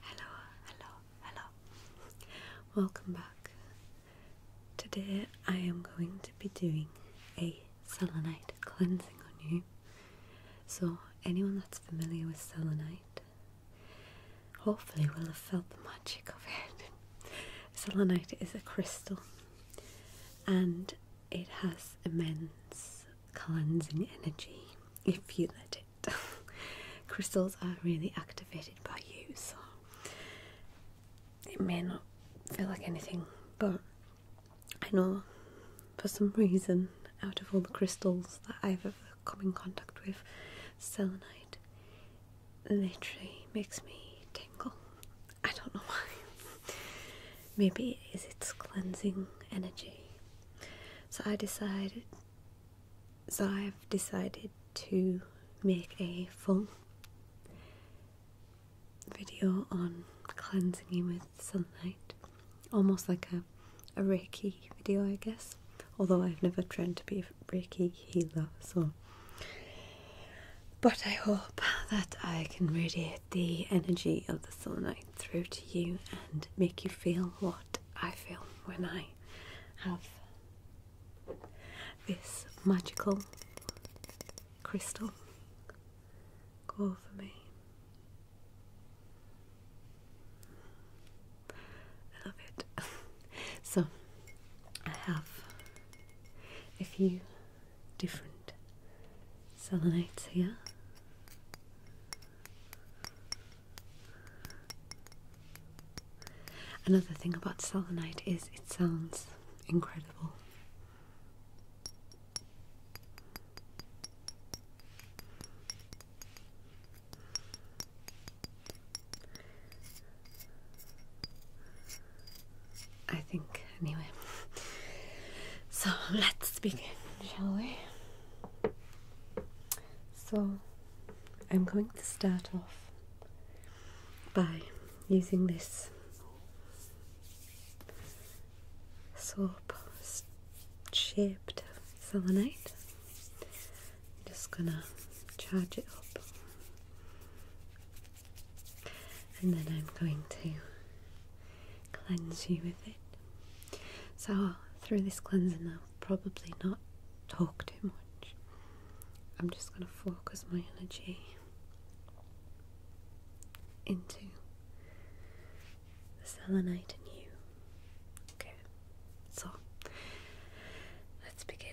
Hello, hello, hello. Welcome back. Today I am going to be doing a selenite cleansing on you. So, anyone that's familiar with selenite hopefully will have felt the magic of it. selenite is a crystal and it has immense cleansing energy if you let it. Crystals are really activated by you, so it may not feel like anything, but I know for some reason, out of all the crystals that I've ever come in contact with, selenite literally makes me tingle. I don't know why. Maybe it is its cleansing energy so I decided so I've decided to make a full video on cleansing you with sunlight. Almost like a, a Reiki video I guess. Although I've never trained to be a Reiki healer so but I hope that I can radiate the energy of the selenite through to you and make you feel what I feel when I have this magical crystal go for me. I love it. so, I have a few different selenites here. Another thing about selenite is it sounds incredible. I think Anyway, so let's begin, shall we? So I'm going to start off by using this soap shaped selenite. I'm just gonna charge it up and then I'm going to cleanse you with it. So, through this cleansing, I'll probably not talk too much. I'm just going to focus my energy into the selenite in you. Okay, so let's begin.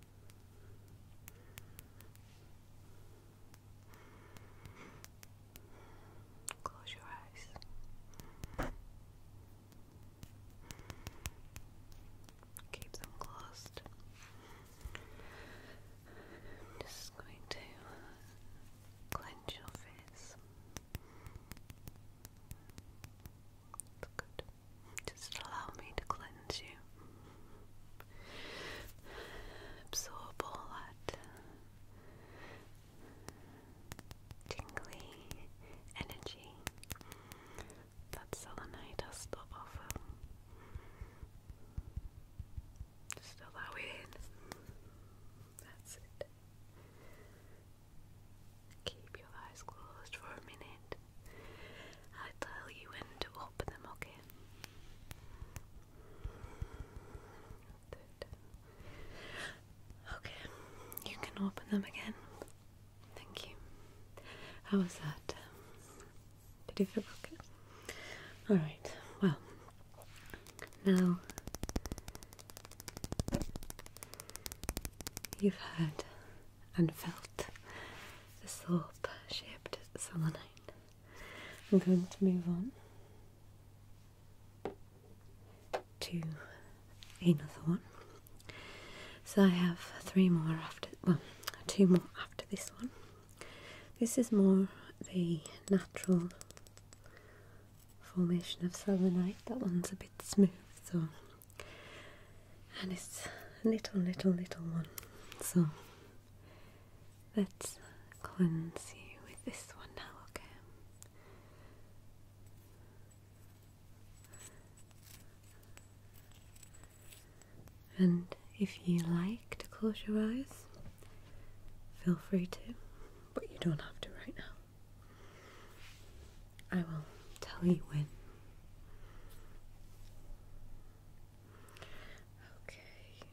Close your eyes. Keep them closed. just going to clench your face. good. Just allow me to cleanse you. Absorb all that tingly energy that selenite has to offer. Just allow it That's it. Keep your eyes closed for a minute i tell you when to open them, okay? Okay, you can open them again. Thank you. How was that? Did you feel okay? Alright, well, now you've had and felt the soap shaped selenite. I'm going to move on to another one. So I have three more after, well, two more after this one. This is more the natural formation of selenite. That one's a bit smooth, so and it's a little, little, little one. So let's cleanse you with this one now, okay? And if you like to close your eyes, feel free to, but you don't have to right now. I will tell you when. Okay.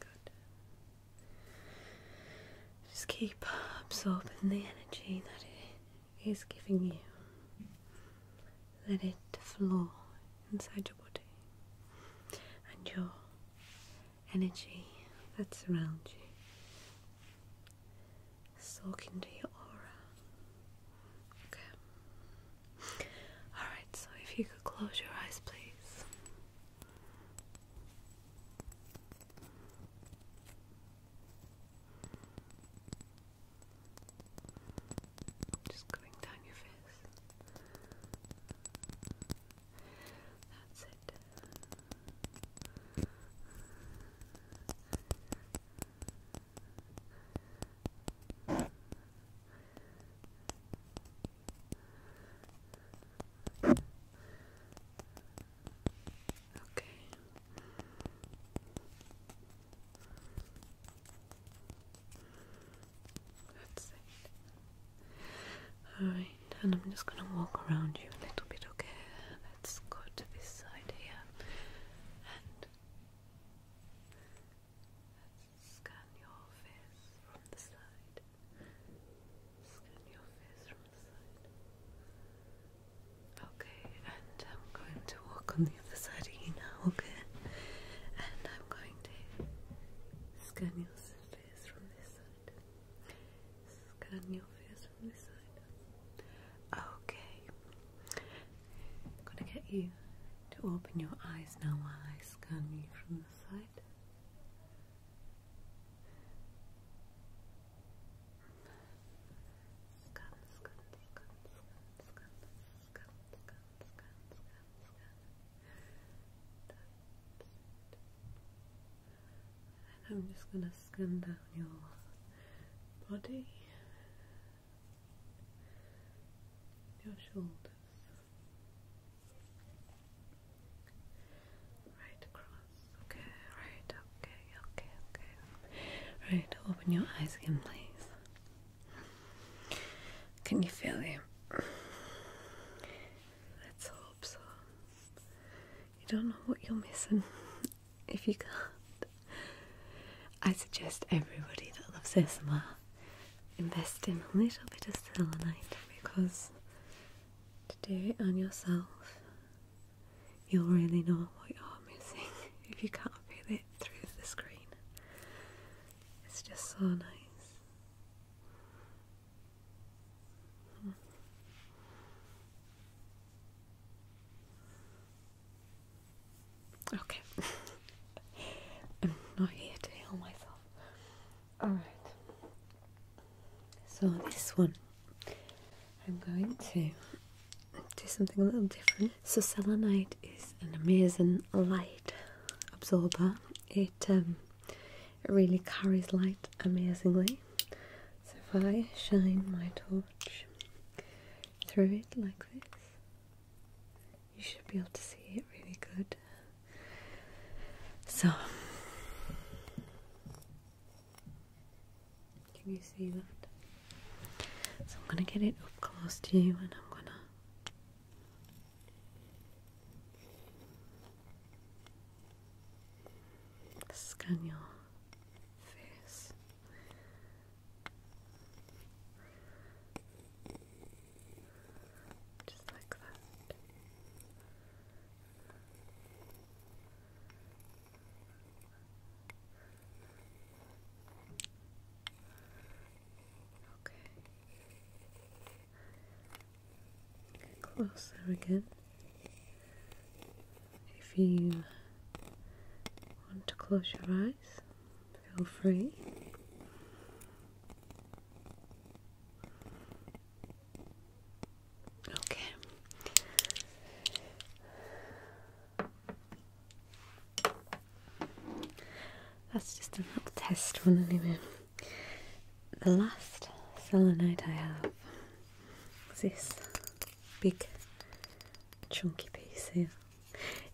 Good. Just keep absorbing the energy that it is giving you. Let it flow inside your body and your energy that surrounds you. Soak into your aura. Okay. Alright, so if you could close your eyes, please. Just going down your face. That's it. Okay. That's it. Alright, and I'm just gonna walk around you a little bit, okay? Let's go to this side here and let's scan your face from the side. Scan your face from the side. Okay, and I'm going to walk on the other side of you now, okay? And I'm going to Scan your face from this side. Scan your face from this side. Okay. I'm gonna get you to open your eyes now while I scan you from the side. Scan, scan, scan, scan, scan. I'm just going to scan down your body, your shoulders, right across. Okay, right, okay, okay, okay. Right, open your eyes again, please. Can you feel it? Let's hope so. You don't know what you're missing if you can't. I suggest everybody that loves ASMR invest in a little bit of selenite because to do it on yourself, you'll really know what you're missing if you can't feel it through the screen. It's just so nice. Hmm. Okay. I'm not here to heal myself. Alright. So, this one I'm going to do something a little different. So selenite is an amazing light absorber. Um, it really carries light amazingly. So if I shine my torch through it like this, you should be able to see it really good. So can you see that? So I'm going to get it up close to you and I'm going to Scan your face. Just like that. Okay. Get closer again. If you want to close your eyes, feel free. Okay. That's just a little test one anyway. The last selenite I have is this big chunky piece here.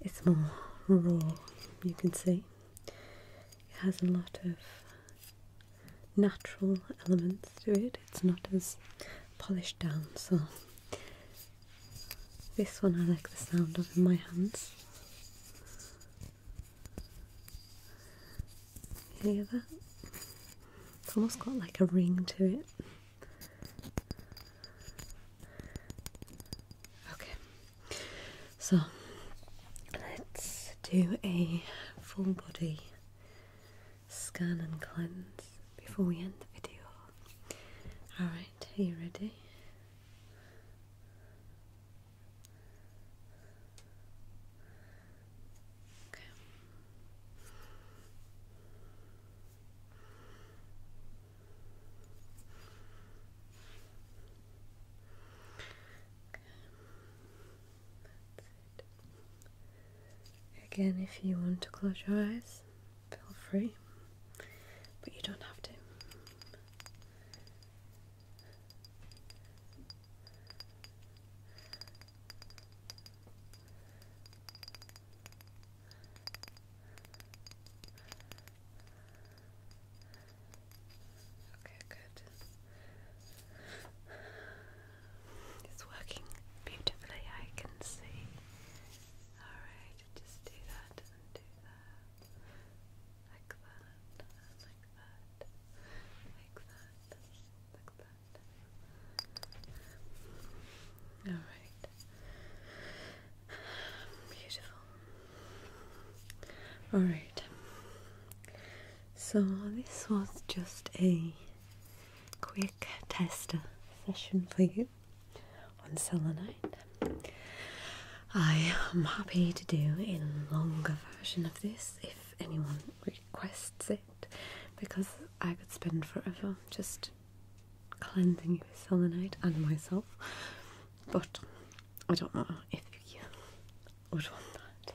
It's more raw, you can see. It has a lot of natural elements to it. It's not as polished down, so this one I like the sound of in my hands. Hear that? It's almost got like a ring to it. Okay, so let's do a full body scan and cleanse before we end the video. Alright, are you ready? Okay. Okay. That's it. Again, if you want to close your eyes, feel free, but you don't have to. Okay, good. It's working beautifully, I can see. Alright, just do that and do that. Like that, like that, like that, like that. Alright. Beautiful. Alright. So this was just a quick tester session for you on selenite. I am happy to do a longer version of this if anyone requests it because I could spend forever just cleansing with selenite and myself, but I don't know if you would want that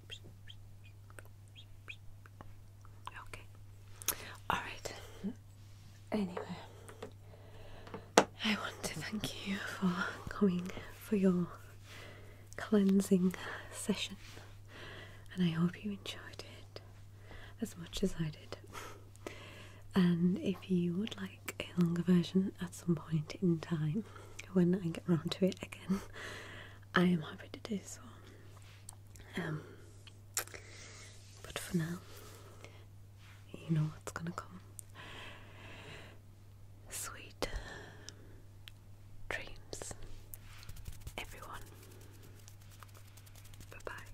Okay. All right. Anyway, I want to thank you for coming for your cleansing session, and I hope you enjoyed it as much as I did. And if you would like a longer version at some point in time, when I get round to it again. I am happy to do so. Um, but for now, you know what's gonna come. Sweet um, dreams, everyone. Bye bye.